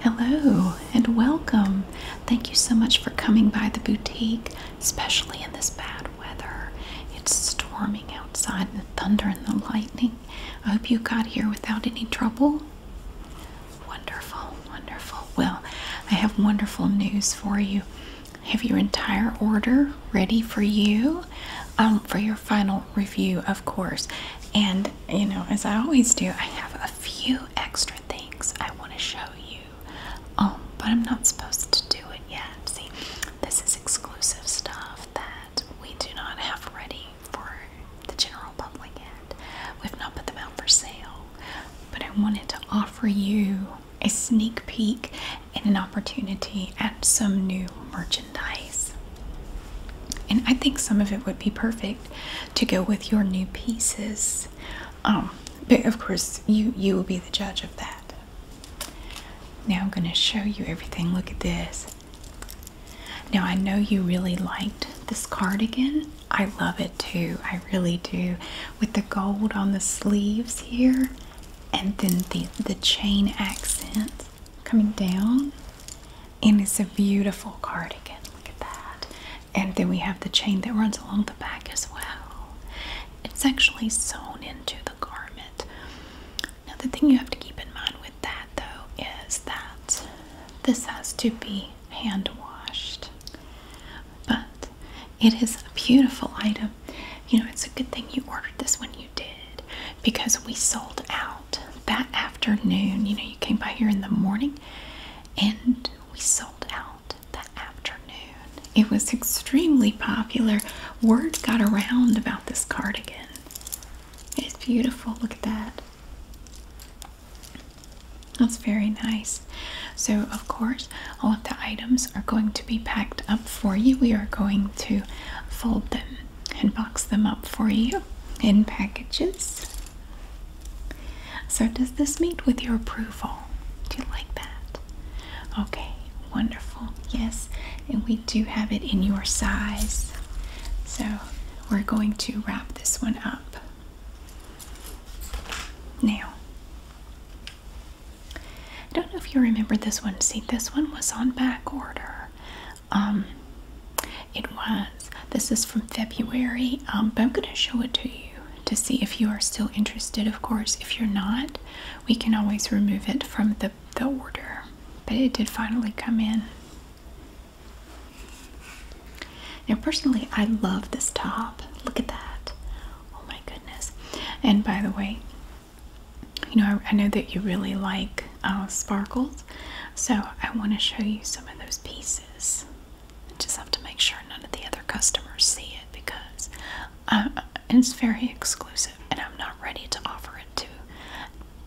Hello and welcome. Thank you so much for coming by the boutique, especially in this bad weather. It's storming outside and thunder and the lightning. I hope you got here without any trouble. Wonderful, wonderful. Well, I have wonderful news for you. Have your entire order ready for you um, for your final review, of course. And you know, as I always do, I have a few extra things I want to show you. Um, but I'm not supposed to do it yet. See, this is exclusive stuff that we do not have ready for the general public yet. We've not put them out for sale. But I wanted to offer you a sneak peek and an opportunity at some new merchandise. And I think some of it would be perfect to go with your new pieces. Um, but of course, you you will be the judge of that. Now I'm going to show you everything. Look at this. Now I know you really liked this cardigan. I love it too. I really do. With the gold on the sleeves here and then the the chain accents coming down and it's a beautiful cardigan. Look at that. And then we have the chain that runs along the back as well. It's actually sewn into the garment. Now, the thing you have to keep in mind with that though is that this has to be hand washed, but it is a beautiful item. You know, it's a good thing you ordered this when you did because we sold out that afternoon. You know, you came by here in the morning and we sold out that afternoon. It was extremely popular. Word got around about this cardigan. It's beautiful. Look at that. That's very nice. So, of course, all of the items are going to be packed up for you. We are going to fold them and box them up for you in packages. So, does this meet with your approval? Do you like that? Okay, wonderful. Yes, and we do have it in your size. So, we're going to wrap this one up. Now, I don't know if you remember this one. See, this one was on back order. Um, it was this is from February um, but I'm gonna show it to you to see if you are still interested of course if you're not we can always remove it from the, the order but it did finally come in now personally I love this top look at that oh my goodness and by the way you know I, know that you really like uh, sparkles so I want to show you some of those pieces I just have to make sure none of the other customers see it because uh, it's very exclusive and I'm not ready to offer it to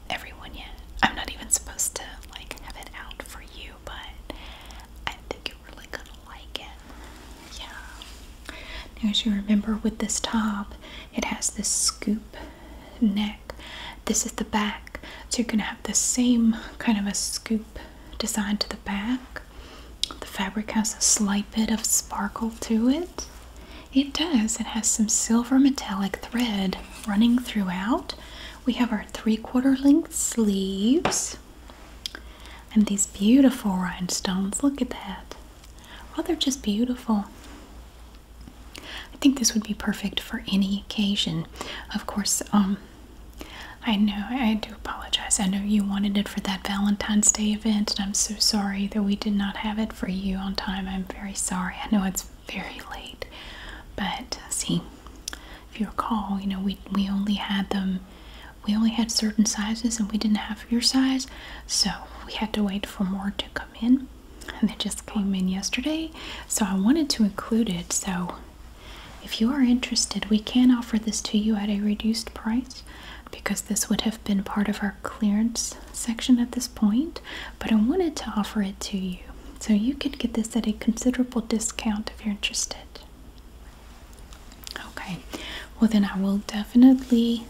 everyone yet. I'm not even supposed to like have it out for you, but I think you're really gonna like it. Yeah. as you remember with this top, it has this scoop neck this is the back. So you're going to have the same kind of a scoop design to the back. The fabric has a slight bit of sparkle to it. It does. It has some silver metallic thread running throughout. We have our three quarter length sleeves and these beautiful rhinestones. Look at that. Oh, they're just beautiful. I think this would be perfect for any occasion. Of course, um, I know I do apologize. I know you wanted it for that Valentine's Day event, and I'm so sorry that we did not have it for you on time. I'm very sorry. I know it's very late, but uh, see, if you recall, you know we we only had them. We only had certain sizes and we didn't have your size, so we had to wait for more to come in. And they just came in yesterday, so I wanted to include it. So if you are interested, we can offer this to you at a reduced price because this would have been part of our clearance section at this point, but I wanted to offer it to you. So you could get this at a considerable discount if you're interested. Okay, well, then I will definitely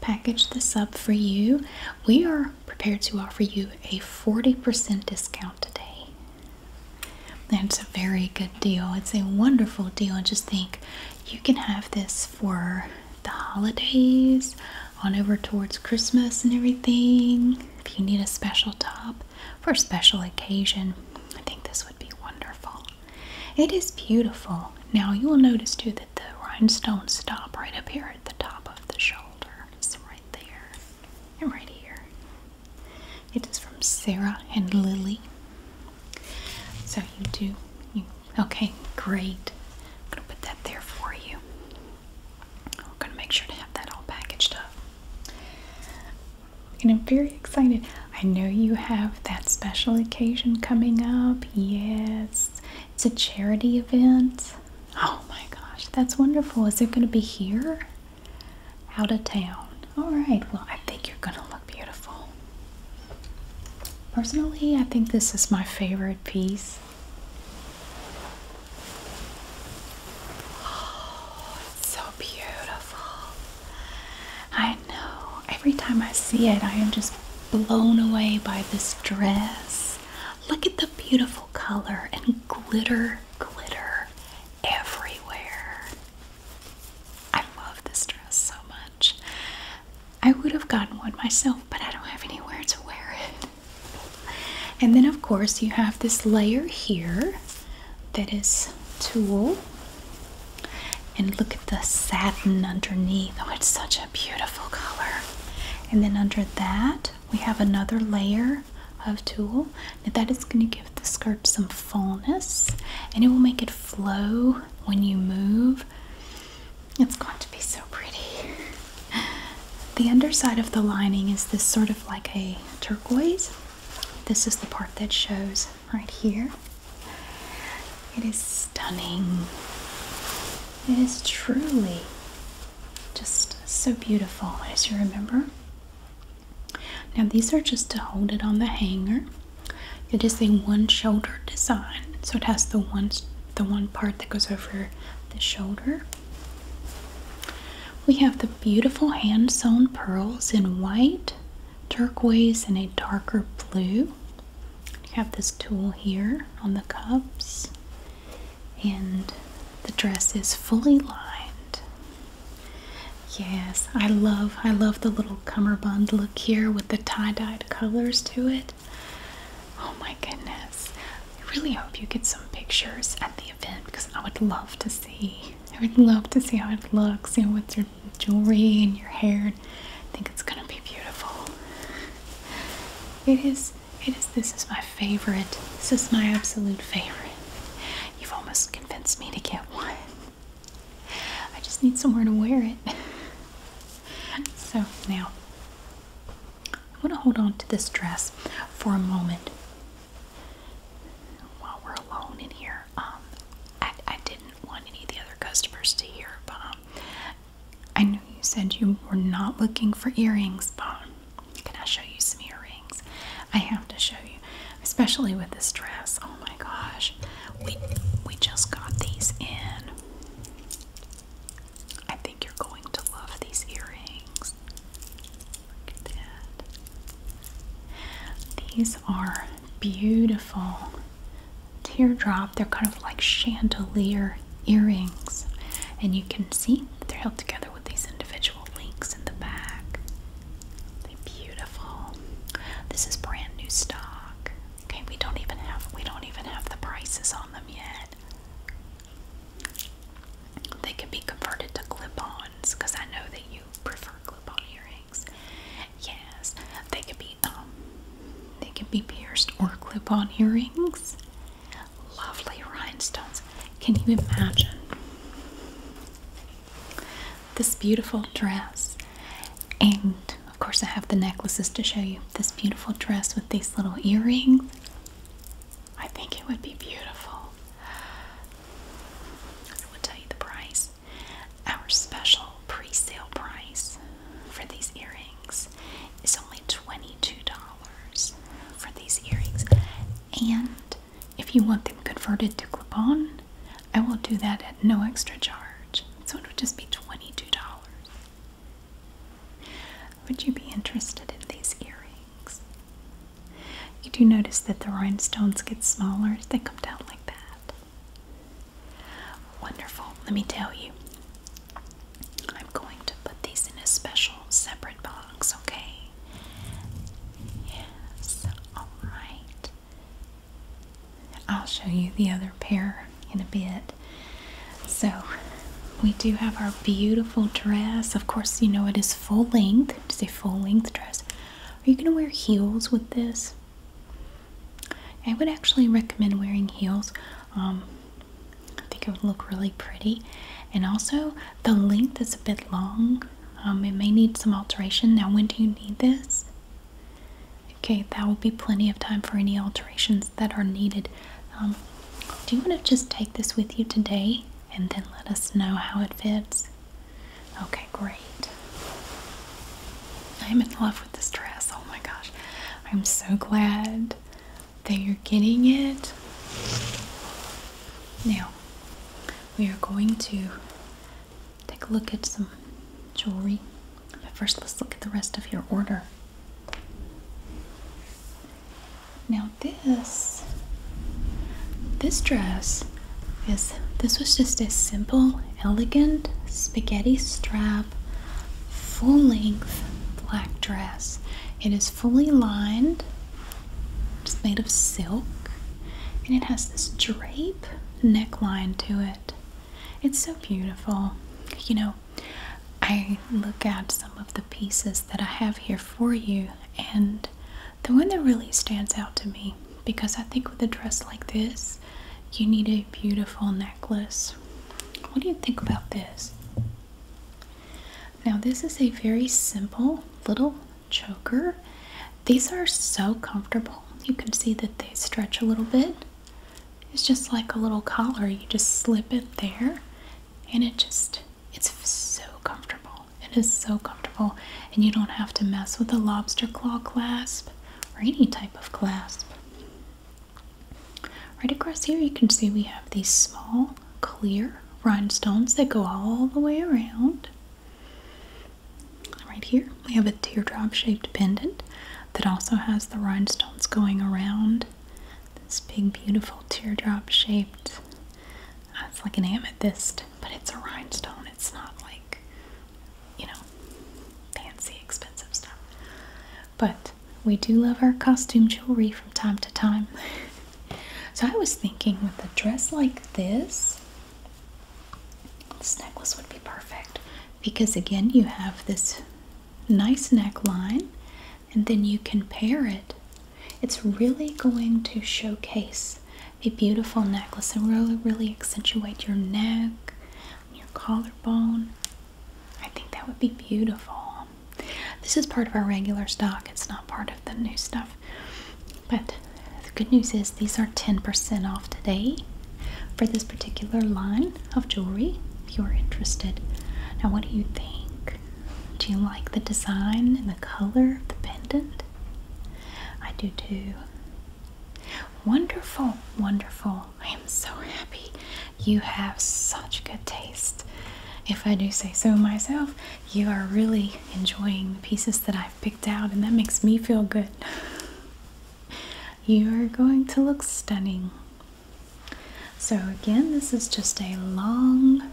package this up for you. We are prepared to offer you a 40% discount today. That's a very good deal. It's a wonderful deal. just think you can have this for the holidays, on over towards Christmas and everything. If you need a special top for a special occasion, I think this would be wonderful. It is beautiful. Now you will notice too that the rhinestones stop right up here at the top of the shoulder. It's right there. I'm right here. It is from Sarah and Lily. So you do. You, okay, great. I'm going to put that there for you. We're going to make sure to have that all packaged up. And I'm very excited. I know you have that special occasion coming up. Yes, it's a charity event. Oh my gosh, that's wonderful. Is it going to be here? out of town. All right, well, I think you're gonna look beautiful. Personally, I think this is my favorite piece. Oh, it's so beautiful. I know. Every time I see it, I am just blown away by this dress. Look at the beautiful color and glitter glitter everywhere. I love this dress so much. I would have gotten one myself, but I don't have anywhere to wear it. And then, of course, you have this layer here that is tulle. And look at the satin underneath. Oh, it's such a beautiful color. And then under that, we have another layer of tulle that is going to give the skirt some fullness and it will make it flow when you move it's going to be so pretty the underside of the lining is this sort of like a turquoise this is the part that shows right here it is stunning it is truly just so beautiful as you remember now these are just to hold it on the hanger. It is a one shoulder design. So it has the one the one part that goes over the shoulder. We have the beautiful hand sewn pearls in white, turquoise, and a darker blue. You have this tool here on the cups and the dress is fully lined. Yes, I love I love the little cummerbund look here with the tie-dyed colors to it. Oh my goodness. I really hope you get some pictures at the event because I would love to see. I would love to see how it looks, you know, with your jewelry and your hair. I think it's gonna be beautiful. It is this is my favorite. This is my absolute favorite. You've almost convinced me to get one. I just need somewhere to wear it. so now I want to hold on to this dress for a moment while we're alone in here. Um, I, didn't want any of the other customers to hear, but um, I know you said you were not looking for earrings, but can I show you some earrings? I have to show you, especially with this dress. Oh my gosh, we we just got these in. I think you're going to love these earrings. Look at that. These are beautiful teardrop. They're kind of like chandelier earrings, and you can see they're held together with these individual links in the back. They're beautiful. This is brand new stock. Okay, we don't even have we don't even have the prices on them yet. They can be converted to clip-ons because I know that you prefer clip-on earrings. Yes, they can be um, they can be pierced or clip-on earrings lovely rhinestones. Can you imagine this beautiful dress? And of course, I have the necklaces to show you. This beautiful dress with these little earrings. I think it would be beautiful. I will tell you the price. Our special pre sale price for these earrings is only $22 for these earrings. And if you want them converted to clip-on, I will do that at no extra charge. So it would just be $22. Would you be interested in these earrings? You do notice that the rhinestones get smaller as they come down like that. Wonderful. Let me tell you. I'm going to put these in a special separate box, okay? Yes, alright. I'll show you the other pair in a bit. So, we do have our beautiful dress. Of course, you know it is full length. It's a full length dress. Are you going to wear heels with this? I would actually recommend wearing heels. Um, I think it would look really pretty. And also, the length is a bit long. Um, it may need some alteration. Now, when do you need this? Okay, that will be plenty of time for any alterations that are needed. Um, do you want to just take this with you today and then let us know how it fits? Okay, great. I'm in love with this dress. Oh my gosh. I'm so glad that you're getting it. Now, we are going to take a look at some jewelry. But first, let's look at the rest of your order. Now this this dress is this was just a simple, elegant spaghetti strap full length black dress. It is fully lined it's made of silk and it has this drape neckline to it. It's so beautiful. You know, I look at some of the pieces that I have here for you, and the one that really stands out to me because I think with a dress like this, you need a beautiful necklace. What do you think about this? Now, this is a very simple little choker. These are so comfortable. You can see that they stretch a little bit. It's just like a little collar. You just slip it there and it just it's so comfortable. It is so comfortable and you don't have to mess with a lobster claw clasp or any type of clasp. Right across here you can see we have these small clear rhinestones that go all the way around. Right here, we have a teardrop shaped pendant that also has the rhinestones going around. This big, beautiful teardrop shaped. Uh, it's like an amethyst, but it's a rhinestone. It's not like, you know, fancy, expensive stuff. But we do love our costume jewelry from time to time. So I was thinking with a dress like this, this necklace would be perfect because again you have this nice neckline and then you can pair it. It's really going to showcase a beautiful necklace and really, really accentuate your neck, your collarbone. I think that would be beautiful. This is part of our regular stock, it's not part of the new stuff but the good news is these are 10% off today for this particular line of jewelry if you're interested. Now, what do you think? Do you like the design and the color of the pendant? I do too. Wonderful, wonderful. I am so happy. You have such good taste. If I do say so myself, you are really enjoying the pieces that I've picked out, and that makes me feel good. you are going to look stunning. So, again, this is just a long,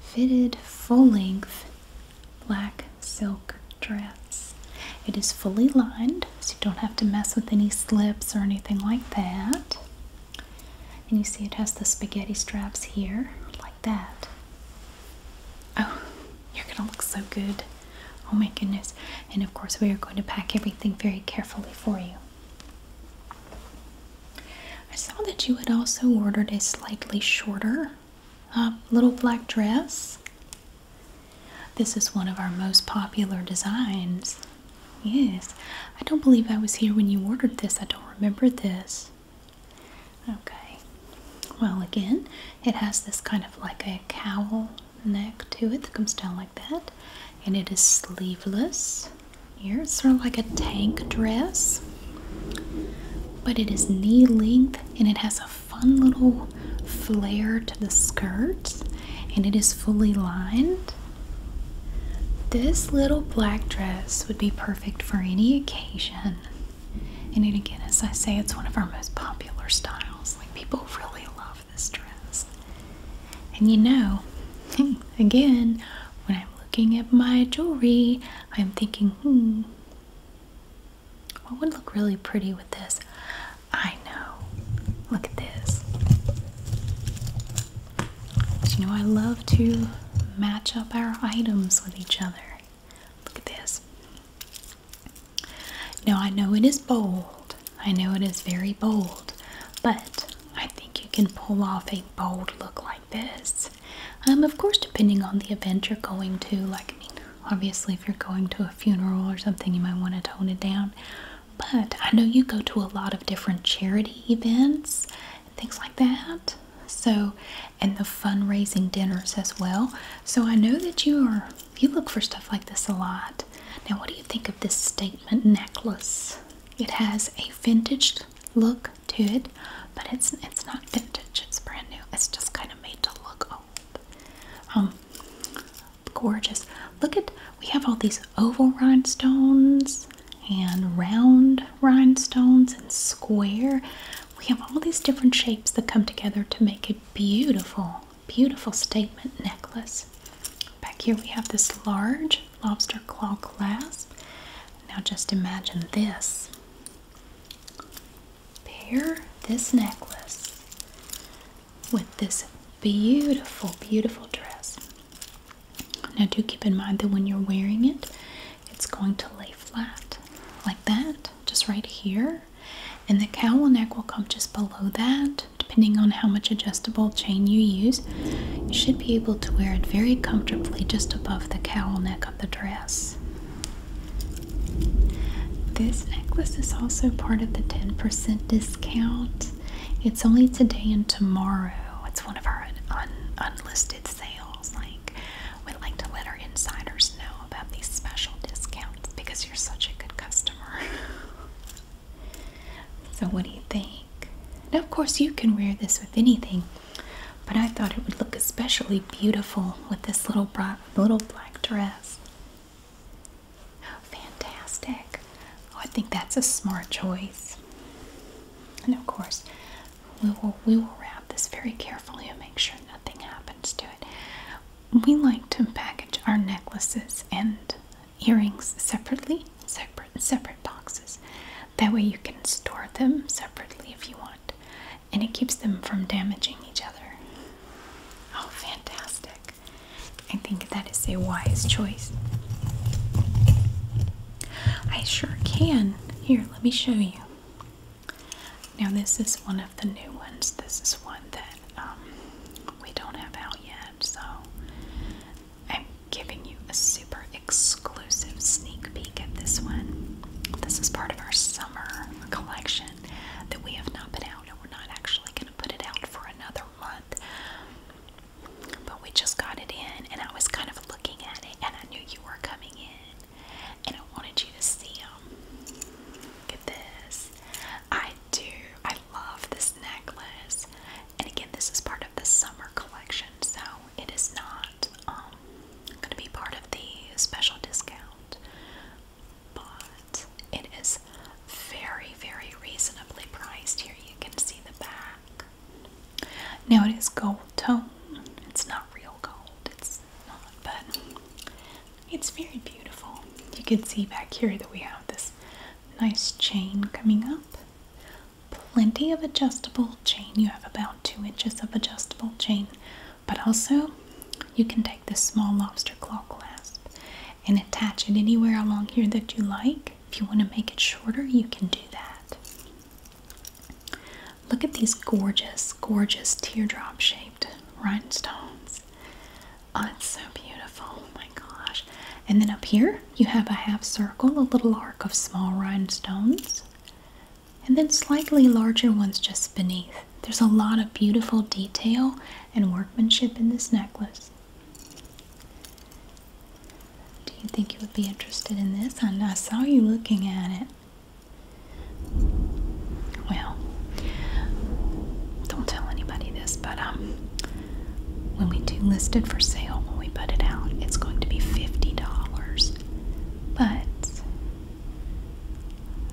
fitted, full length black silk dress. It is fully lined, so you don't have to mess with any slips or anything like that. And you see, it has the spaghetti straps here, that. Oh, you're gonna look so good. Oh my goodness. And of course, we are going to pack everything very carefully for you. I saw that you had also ordered a slightly shorter uh, little black dress. This is one of our most popular designs. Yes, I don't believe I was here when you ordered this. I don't remember this. Okay. Well, again, it has this kind of like a cowl neck to it that comes down like that, and it is sleeveless. Here, it's sort of like a tank dress, but it is knee length and it has a fun little flare to the skirt, and it is fully lined. This little black dress would be perfect for any occasion. And it again, as I say, it's one of our most popular styles. Like people really love this dress. And you know, hmm, again, when I'm looking at my jewelry, I'm thinking, hmm, what would look really pretty with this? I know. Look at this. you know, I love to match up our items with each other. Look at this. Now, I know it is bold. I know it is very bold, but I think you can pull off a bold look like this. Um, of course, depending on the event you're going to, like, I mean, obviously, if you're going to a funeral or something, you might want to tone it down. But I know you go to a lot of different charity events things like that. So, and the fundraising dinners as well. So I know that you are you look for stuff like this a lot. Now, what do you think of this statement necklace? It has a vintage look to it, but it's it's not vintage. It's brand new. It's just kind of made to look old. Um, gorgeous. Look at we have all these oval rhinestones and round rhinestones and square we have all these different shapes that come together to make a beautiful, beautiful statement necklace. Back here we have this large lobster claw clasp. Now just imagine this. Pair this necklace with this beautiful, beautiful dress. Now do keep in mind that when you're wearing it, it's going to lay flat like that, just right here. And the cowl neck will come just below that. Depending on how much adjustable chain you use, you should be able to wear it very comfortably just above the cowl neck of the dress. This necklace is also part of the 10% discount. It's only today and tomorrow. It's one of our unlisted sales. Like we would like to let our insiders know about these special discounts because you're such a good customer. so, what do you think? Now, of course, you can wear this with anything, but I thought it would look especially beautiful with this little, black dress. Fantastic. Oh, I think that's a smart choice. And of course, we will, we will wrap this very carefully and make sure nothing happens to it. We like to package our necklaces and earrings separately, separate, separate boxes. That way you can store them separately if you want. And it keeps them from damaging each other. Oh, fantastic. I think that is a wise choice. I sure can. Here, let me show you. Now, this is one of the new ones. This is one that um, we don't have out yet, so I'm giving you a super exclusive sneak peek at this one. This is part of our summer collection that we have not been out, and we're not actually going to put it out for another month. But we just got it in, and I was kind of looking at it, and I knew you were coming in, and I wanted you to see them. Look at this. I do. I love this necklace. And again, this is part of the summer collection, so it is not um, going to be part of the special discount. But it is very, very reasonably priced. Here you can see the back. Now it is gold tone. It's not real gold. It's it's but it's very beautiful. You can see back here that we have this nice chain coming up. Plenty of adjustable chain. You have about two inches of adjustable chain, but also you can take this small lobster claw clasp and attach it anywhere along here that you like. If you want to make it shorter, you can do that. Look at these gorgeous, gorgeous teardrop shaped rhinestones. Oh, it's so beautiful. Oh my gosh. And then up here, you have a half circle, a little arc of small rhinestones, and then slightly larger ones just beneath. There's a lot of beautiful detail and workmanship in this necklace. Do you think you would be interested in this? I, I saw you looking at it. Well, don't tell anybody this, but um, when we do list it for sale, when we put it out, it's going to be $50. But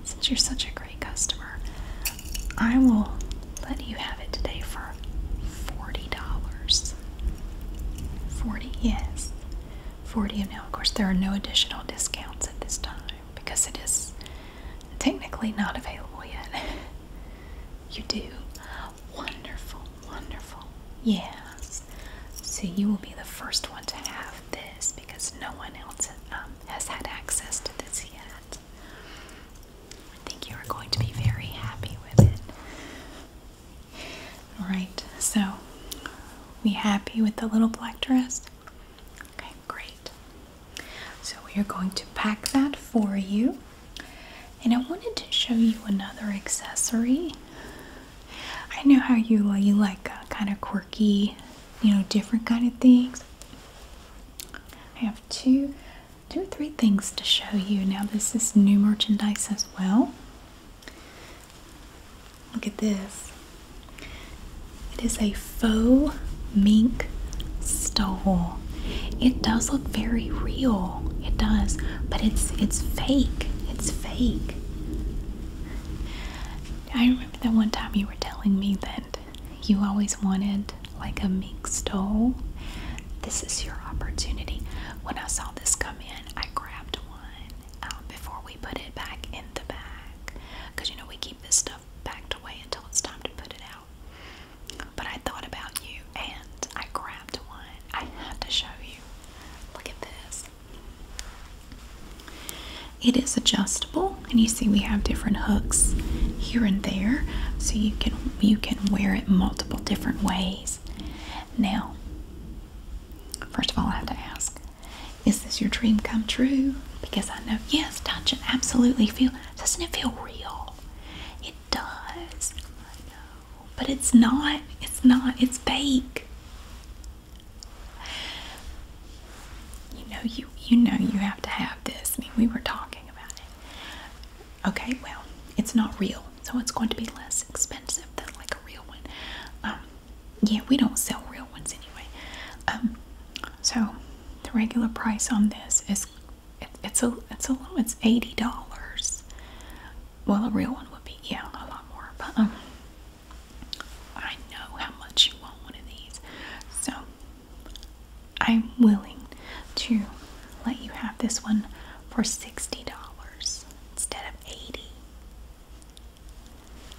since you're such a great customer, I will let you have it today for $40. 40 yes. 40 now of course there are no additional discounts at this time because it is technically not available yet you do wonderful wonderful yes so you will be the first one to have this because no one else um, has had access to this yet I think you are going to be very happy with it all right so we happy with the little black dress? Okay, great. So we are going to pack that for you. And I wanted to show you another accessory. I know how you uh, you like uh, kind of quirky, you know, different kind of things. I have two, two or three things to show you. Now this is new merchandise as well. Look at this. It is a faux mink stole. It does look very real. It does, but it's it's fake. It's fake. I remember that one time you were telling me that you always wanted like a mink stole. This is your opportunity. When I saw this come in, I grabbed one um, before we put it back in the bag. you know, we keep this stuff packed away until it's time to put it out. But I thought about you and I grabbed one. I had to show you. Look at this. It is adjustable, and you see we have different hooks here and there, so you can you can wear it multiple different ways. Now, first of all, I have to ask, is this your dream come true? Because I know, yes, touch it, absolutely feel. Doesn't it feel real? It does. I know. But it's not. It's not. It's fake. You know you you know you have to have this. I mean, we were talking about it. Okay, well, it's not real, so it's going to be less expensive than like a real one. Um, yeah, we don't sell real ones anyway. Um, so the regular price on this is it's a it's a low. It's eighty dollars. Well, a real one would be yeah, a lot more. But um, I know how much you want one of these, so I'm willing to let you have this one for sixty dollars instead of eighty.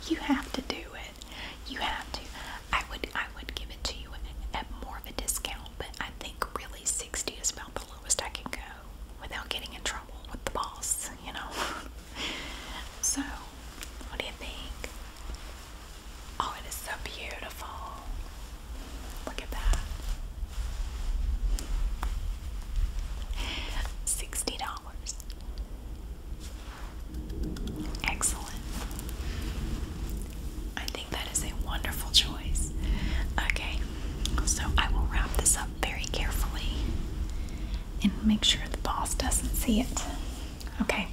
You have to do it. You have to. I would I would give it to you at more of a discount, but I think really 60 is about the lowest I can go without getting in trouble with the boss, you know. so, what do you think? Oh, it is so beautiful. Look at that. $60. Excellent. I think that is a wonderful choice. Okay, so I will wrap this up very carefully and make sure the boss doesn't see it. Okay.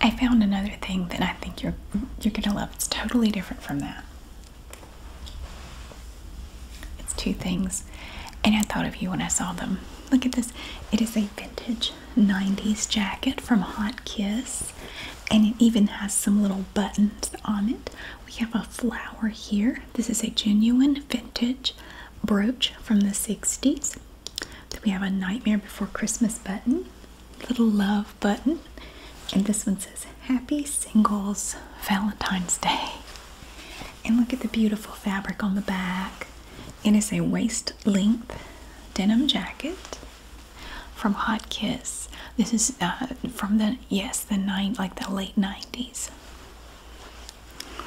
I found another thing that I think you're you're gonna love. It's totally different from that. It's two things, and I thought of you when I saw them. Look at this. It is a vintage 90s jacket from Hot Kiss, and it even has some little buttons on it. We have a flower here. This is a genuine vintage brooch from the 60s. Then we have a Nightmare Before Christmas button, little love button, and this one says Happy Singles Valentine's Day. And look at the beautiful fabric on the back. It is a waist length denim jacket from Hot Kiss. This is uh, from the yes, the nine like the late 90s.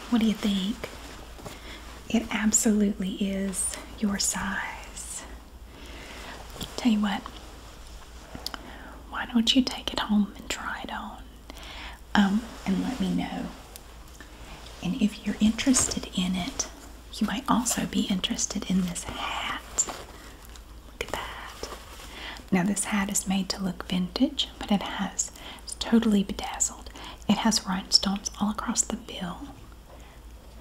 What do you think? It absolutely is your size. Tell you what, why don't you take it home and try it on? Um, and let me know. And if you're interested in it, you might also be interested in this hat. Look at that. Now, this hat is made to look vintage, but it has it's totally bedazzled. It has rhinestones all across the bill.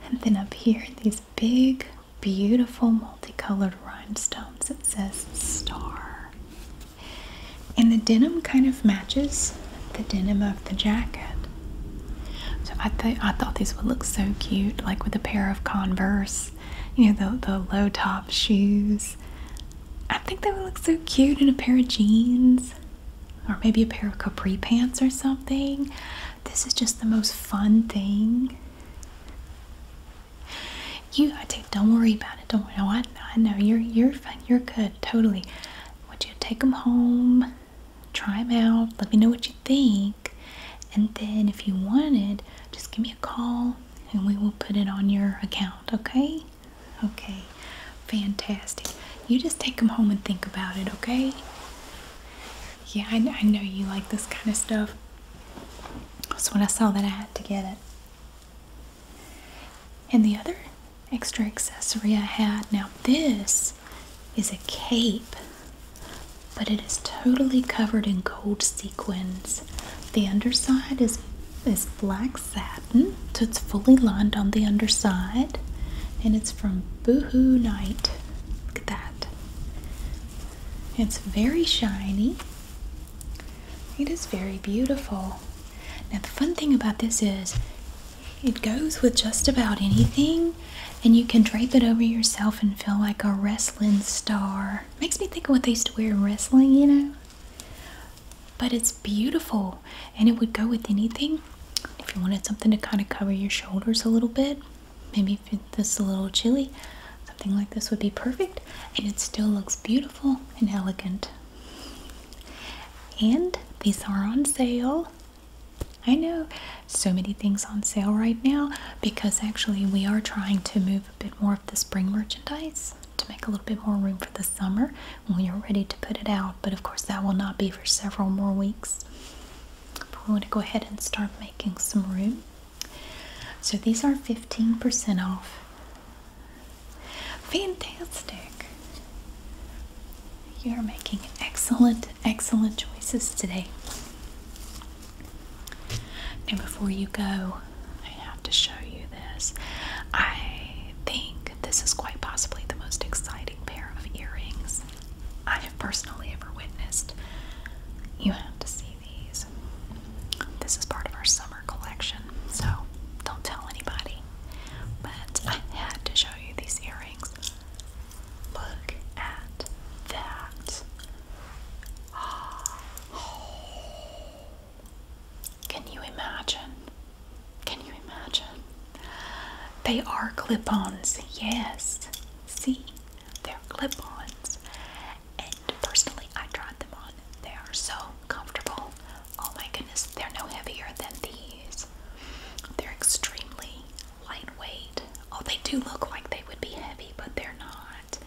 And then up here, these big, beautiful, multicolored rhinestones. It says star. And the denim kind of matches the denim of the jacket. So I, th I thought these would look so cute, like with a pair of Converse, you know, the, the low top shoes. I think they would look so cute in a pair of jeans or maybe a pair of capri pants or something. This is just the most fun thing. You, I don't worry about it. Don't worry. I, I know you're you're fine. You're good. Totally. Would you take them home? Try them out. Let me know what you think. And then if you wanted, just give me a call and we will put it on your account. Okay? Okay. Fantastic. You just take them home and think about it. Okay? Yeah, I, I know you like this kind of stuff. So when I saw that, I had to get it. And the other extra accessory I had, now this is a cape, but it is totally covered in gold sequins. The underside is is black satin, so it's fully lined on the underside, and it's from Boohoo Night. Look at that. It's very shiny. It is very beautiful. Now, the fun thing about this is it goes with just about anything, and you can drape it over yourself and feel like a wrestling star. Makes me think of what they used to wear in wrestling, you know? But it's beautiful, and it would go with anything. If you wanted something to kind of cover your shoulders a little bit, maybe if it's a little chilly, something like this would be perfect, and it still looks beautiful and elegant. And these are on sale. I know so many things on sale right now because actually we are trying to move a bit more of the spring merchandise to make a little bit more room for the summer when we are ready to put it out. But of course, that will not be for several more weeks. But we want to go ahead and start making some room. So these are 15% off Fantastic. You're making excellent, excellent choices today. Now, before you go, I have to show you this. I think this is quite possibly the most exciting pair of earrings I have personally ever witnessed. You have to see these. This is part of our summer collection, so don't tell anybody. But I had to show you these earrings. Look at that. Can you imagine? Can you imagine? They are clip ons, yes. See, they're clip ons. And personally, I tried them on they are so comfortable. Oh my goodness, they're no heavier than these. They're extremely lightweight. Oh, they do look like they would be heavy, but they're not.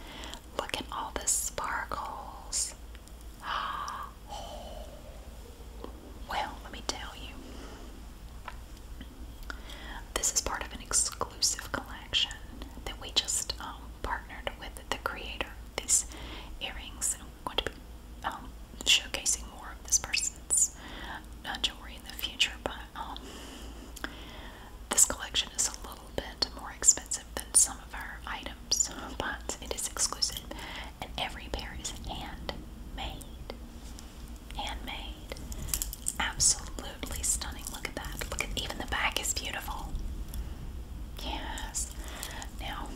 Look at all the sparkles. Well, let me tell you. This is part of an exclusive collection that we just um, partnered with the creator. These earrings going to be um, showcasing more of this person's uh, jewelry in the future, but um, this collection is a little bit more expensive than some of our items, but it is exclusive, and every pair is hand made, handmade. made, Absolutely stunning. Look at that. Look at even the back is beautiful. Yes. Now,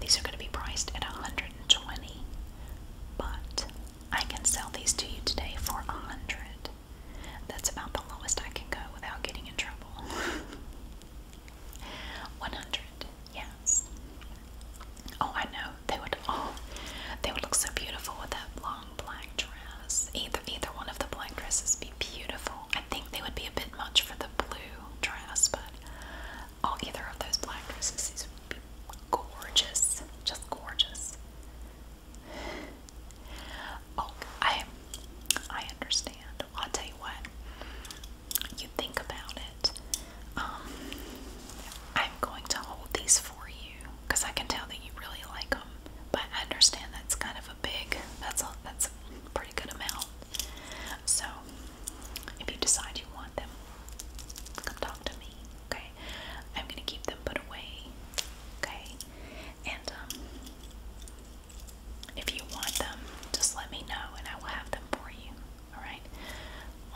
these are going to be priced at 120 but I can sell these to you today for 100 That's about the lowest I can go without getting in trouble. 100 Yes. Oh, I know. They would all they would look so beautiful with that long black dress. Either either one of the black dresses be beautiful. I think they would be a bit much for the blue dress, but all either of those black dresses these would be gorgeous, just gorgeous. Oh, I I understand. I'll tell you what. You think about it. Um, I'm going to hold these for you because I can tell that you really like them. But I understand that's kind of a big. That's a that's a pretty good amount. So, if you decide you want them, come talk to me, okay? I'm gonna keep them put away, okay? And, um, if you want them, just let me know and I will have them for you, alright?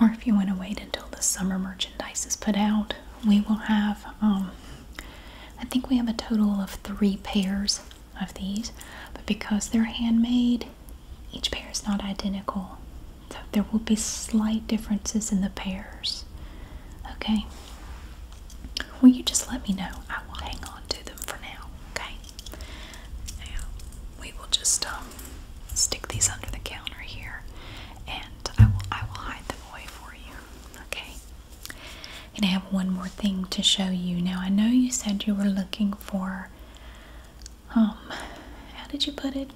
Or if you want to wait until the summer merchandise is put out, we will have, um, I think we have a total of three pairs of these, but because they're handmade, each pair is not identical, so there will be slight differences in the pairs. Okay? Will you just let me know? I will hang on to them for now, okay? Now, we will just um, stick these under the counter here and I will, I will hide them away for you, okay? And I have one more thing to show you. Now, I know you said you were looking for um, how did you put it?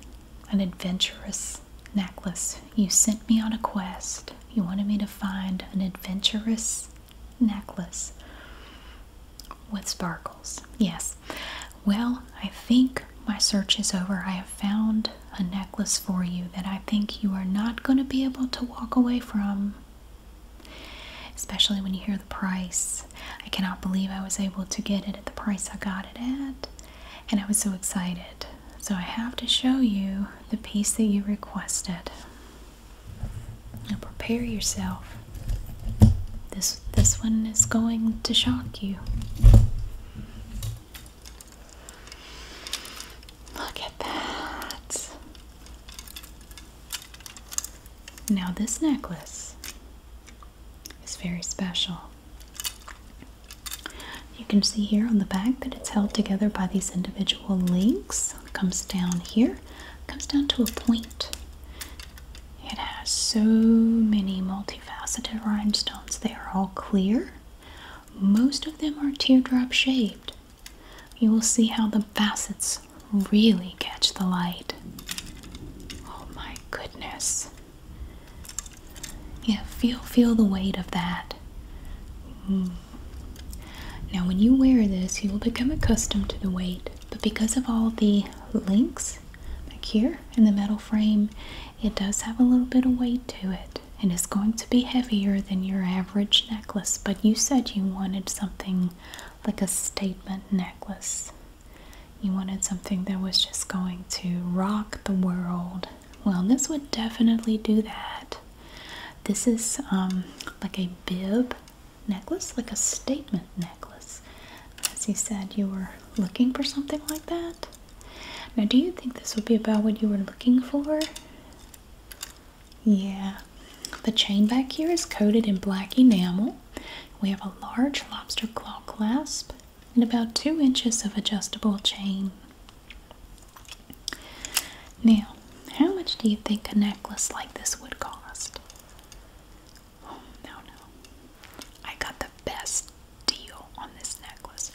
An adventurous necklace. You sent me on a quest. You wanted me to find an adventurous necklace with sparkles. Yes. Well, I think my search is over. I have found a necklace for you that I think you are not going to be able to walk away from Especially when you hear the price. I cannot believe I was able to get it at the price I got it at. And I was so excited. So I have to show you the piece that you requested. Now prepare yourself. This this one is going to shock you. Look at that. Now, this necklace is very special. You can see here on the back that it's held together by these individual links. comes down here, comes down to a point. It has so many multifaceted rhinestones. They are all clear. Most of them are teardrop shaped. You will see how the facets really catch the light. Oh my goodness. Yeah, feel feel the weight of that. Mm. Now when you wear this, you will become accustomed to the weight, but because of all the links like here in the metal frame, it does have a little bit of weight to it. And it's going to be heavier than your average necklace, but you said you wanted something like a statement necklace. You wanted something that was just going to rock the world. Well, this would definitely do that. This is um, like a bib necklace, like a statement necklace. As you said, you were looking for something like that. Now, do you think this would be about what you were looking for? Yeah. The chain back here is coated in black enamel. We have a large lobster claw clasp and about two inches of adjustable chain. Now, how much do you think a necklace like this would cost? Oh, no, no. I got the best deal on this necklace.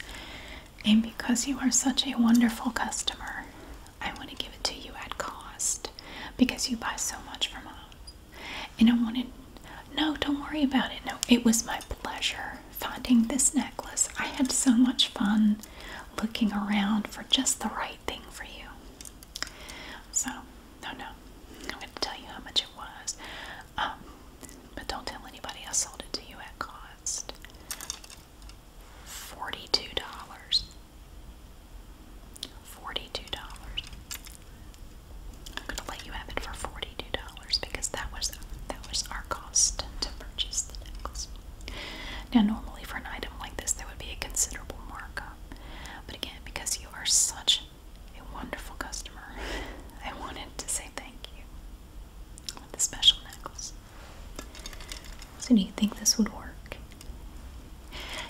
And because you are such a wonderful customer, I want to give it to you at cost because you buy so much from us. And I wanted, no, don't worry about it. No, it was my pleasure finding this necklace. I had so much fun looking around for just the right thing for you. So, no, no, I'm going to tell you how much it was. Um, but don't tell anybody I sold it to you at cost. $42. Forty-two dollars. I'm gonna let you have it for forty-two dollars because that was that was our cost to purchase the necklace. Now, normally for an item like this, there would be a considerable markup, but again, because you are such a wonderful customer, I wanted to say thank you with the special necklace. So, do you think this would work?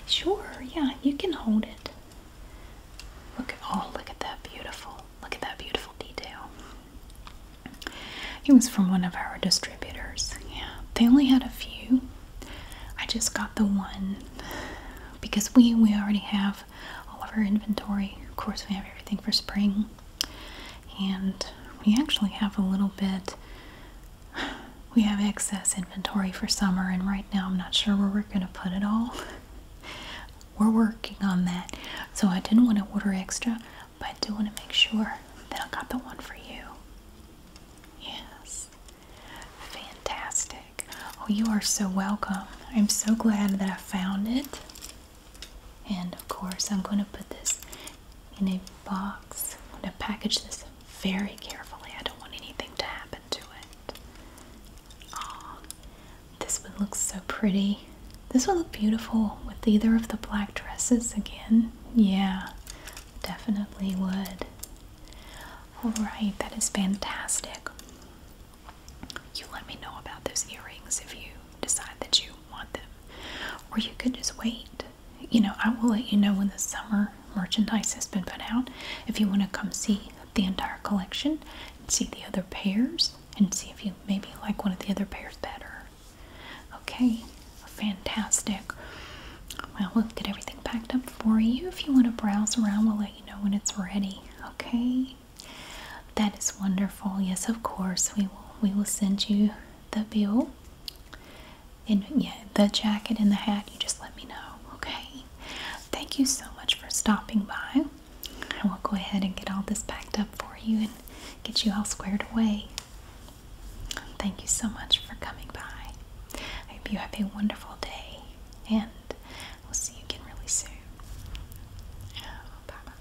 Sure, yeah, you can hold it. Look at oh, look at that beautiful, look at that beautiful detail. It was from one of our distributors. Yeah, they only had a few. I just got the one because we we already have all of our inventory. Of course, we have everything for spring, and we actually have a little bit we have excess inventory for summer, and right now I'm not sure where we're going to put it all. we're working on that. So I didn't want to order extra, but I do want to make sure that I got the one for you. Yes. Fantastic. Oh, you are so welcome. I'm so glad that I found it. And of course, I'm going to put this in a box. I'm going to package this very carefully. I don't want anything to happen to it. Oh, this one looks so pretty. This will look beautiful with either of the black dresses again. Yeah, definitely would. Alright, that is fantastic. You let me know about those earrings if you decide that you want them. Or you could just wait. You know, I will let you know in the summer merchandise has been put out. If you want to come see the entire collection and see the other pairs and see if you maybe like one of the other pairs better. Okay, fantastic. Well, we'll get everything packed up for you. If you want to browse around, we'll let you know when it's ready. Okay, that is wonderful. Yes, of course, we will. We will send you the bill and yeah, the jacket and the hat, you just let me know, okay? Thank you so much for stopping by. I will go ahead and get all this packed up for you and get you all squared away. Thank you so much for coming by. I hope you have a wonderful day, and we'll see you again really soon. bye.